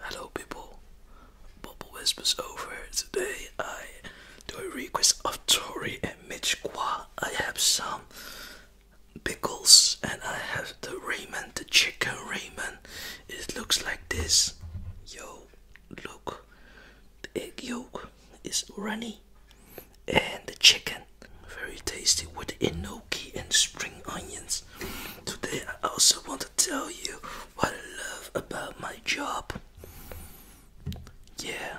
Hello people, Bubble Whispers over. Today I do a request of Tori and Mitch Kwa. I have some pickles and I have the ramen, the chicken ramen. It looks like this. Yo, look, the egg yolk is runny and the chicken very tasty with enoki and spring onions. Today I also want to tell you what I love about my job. Yeah.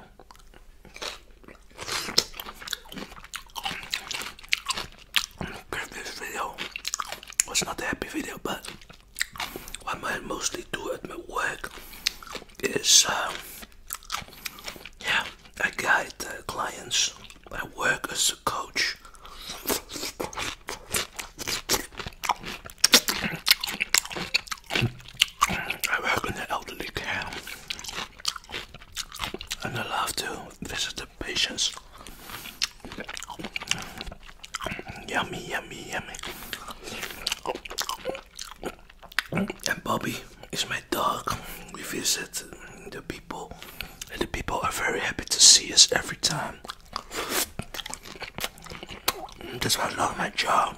Previous video was not a happy video, but what I mostly do at my work is uh, yeah, I guide uh, clients. I work as a coach. I work in the elderly care, and I love to visit the patients. Yummy, yummy, yummy. And Bobby is my dog. We visit the people, and the people are very happy to see us every time. That's why I love my job.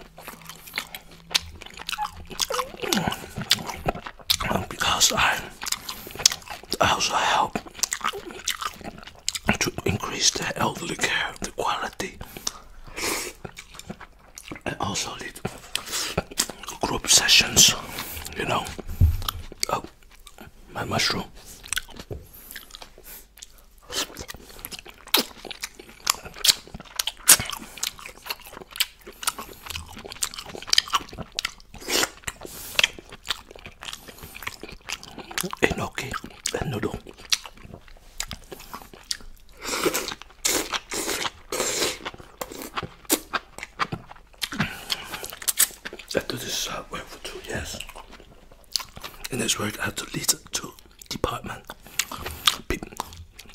Because I, I also help to increase the elderly care, the quality. I also did group sessions, you know. Oh, my mushroom. Enoki and noodle. I do this uh, work for two years. In this work, I had to lead to department,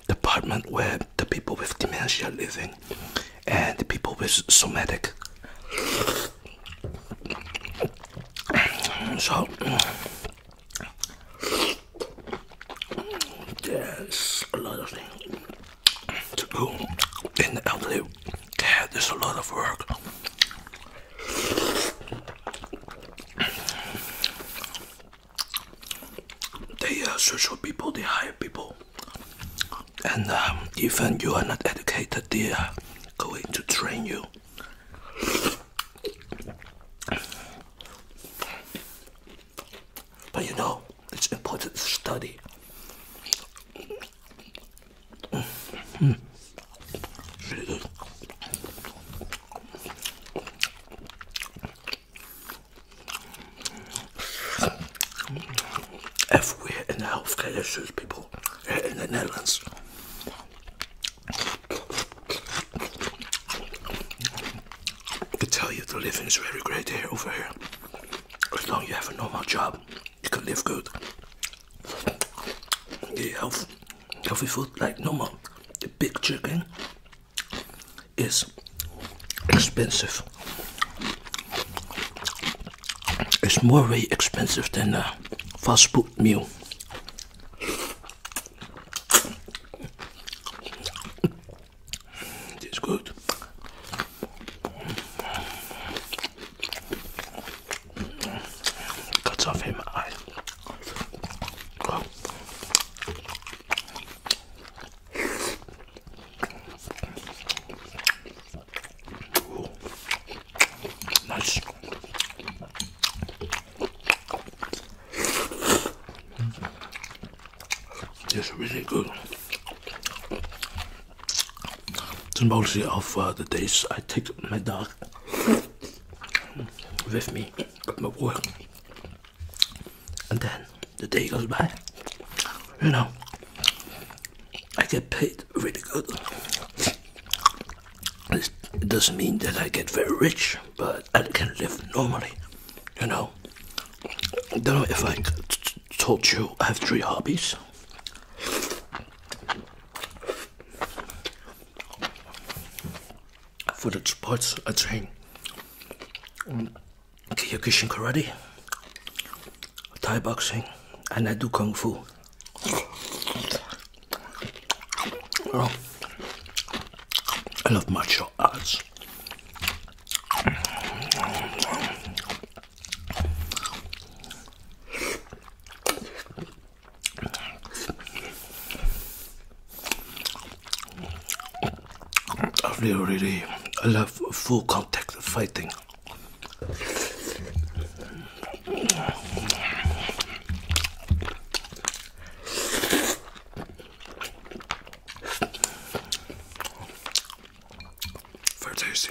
department where the people with dementia are living, and the people with somatic. So there's a lot of things to do in the elderly There's a lot of work. They uh, search for people, they hire people, and um, even you are not educated, they are going to train you but you know, it's important to study. Everywhere in the healthcare issues, people eh, in the Netherlands, I can tell you the living is very great here over here. As long as you have a normal job, you can live good. The healthy food like normal. The big chicken is expensive it's more very expensive than a fast food meal. It's good. Cuts off in my eye. Ooh. Nice. It's really good. It's mostly of the days I take my dog with me my work, and then the day goes by. You know, I get paid really good. It doesn't mean that I get very rich, but I can live normally, you know. I don't know if I told you I have three hobbies. For the sports, I train. Kyokushin karate, Thai boxing, and I do kung fu. Oh, I love martial arts. I really, really love full contact fighting. Very tasty.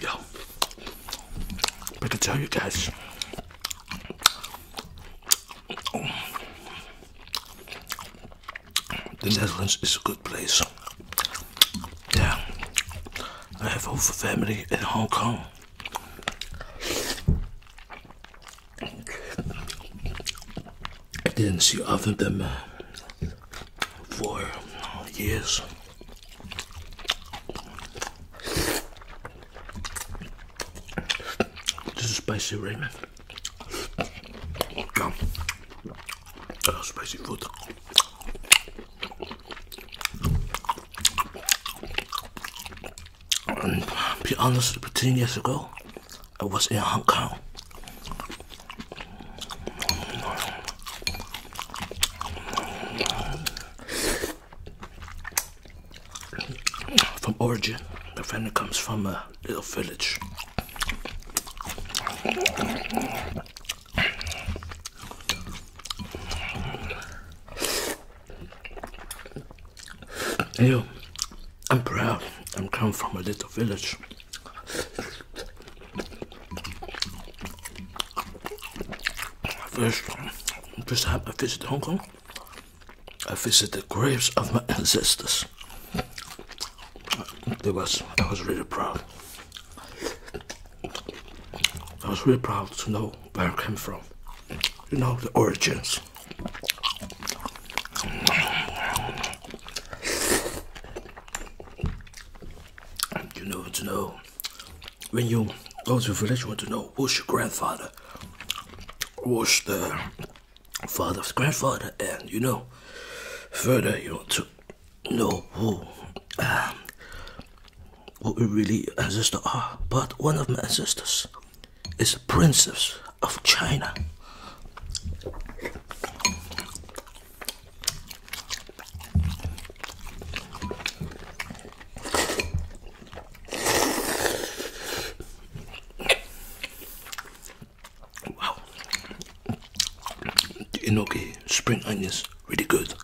Yo, I can tell you guys. The Netherlands is a good place. Yeah, I have over family in Hong Kong. I didn't see other than them for years. This is spicy ramen. Come. I spicy food. And be honest, 10 years ago, I was in Hong Kong. From origin, the vendor comes from a little village. Hey, I'm proud. I'm come from a little village. First, first time I visited Hong Kong, I visited the graves of my ancestors. It was, I was really proud. I was really proud to know where I came from. You know, the origins. You know to know when you go to village you want to know who's your grandfather was the father's grandfather and you know further you want to know who um, what we really ancestors are but one of my ancestors is a princess of China. Wow, the enoki spring onions really good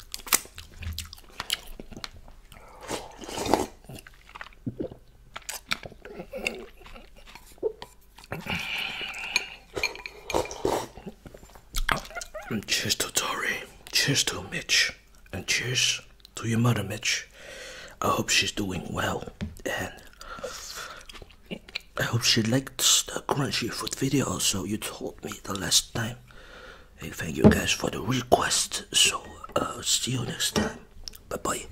cheers to Tory. cheers to Mitch, and cheers to your mother, Mitch. I hope she's doing well, and I hope she liked the crunchy food video. So you told me the last time. Hey, thank you guys for the request. So, uh, see you next time. Bye bye.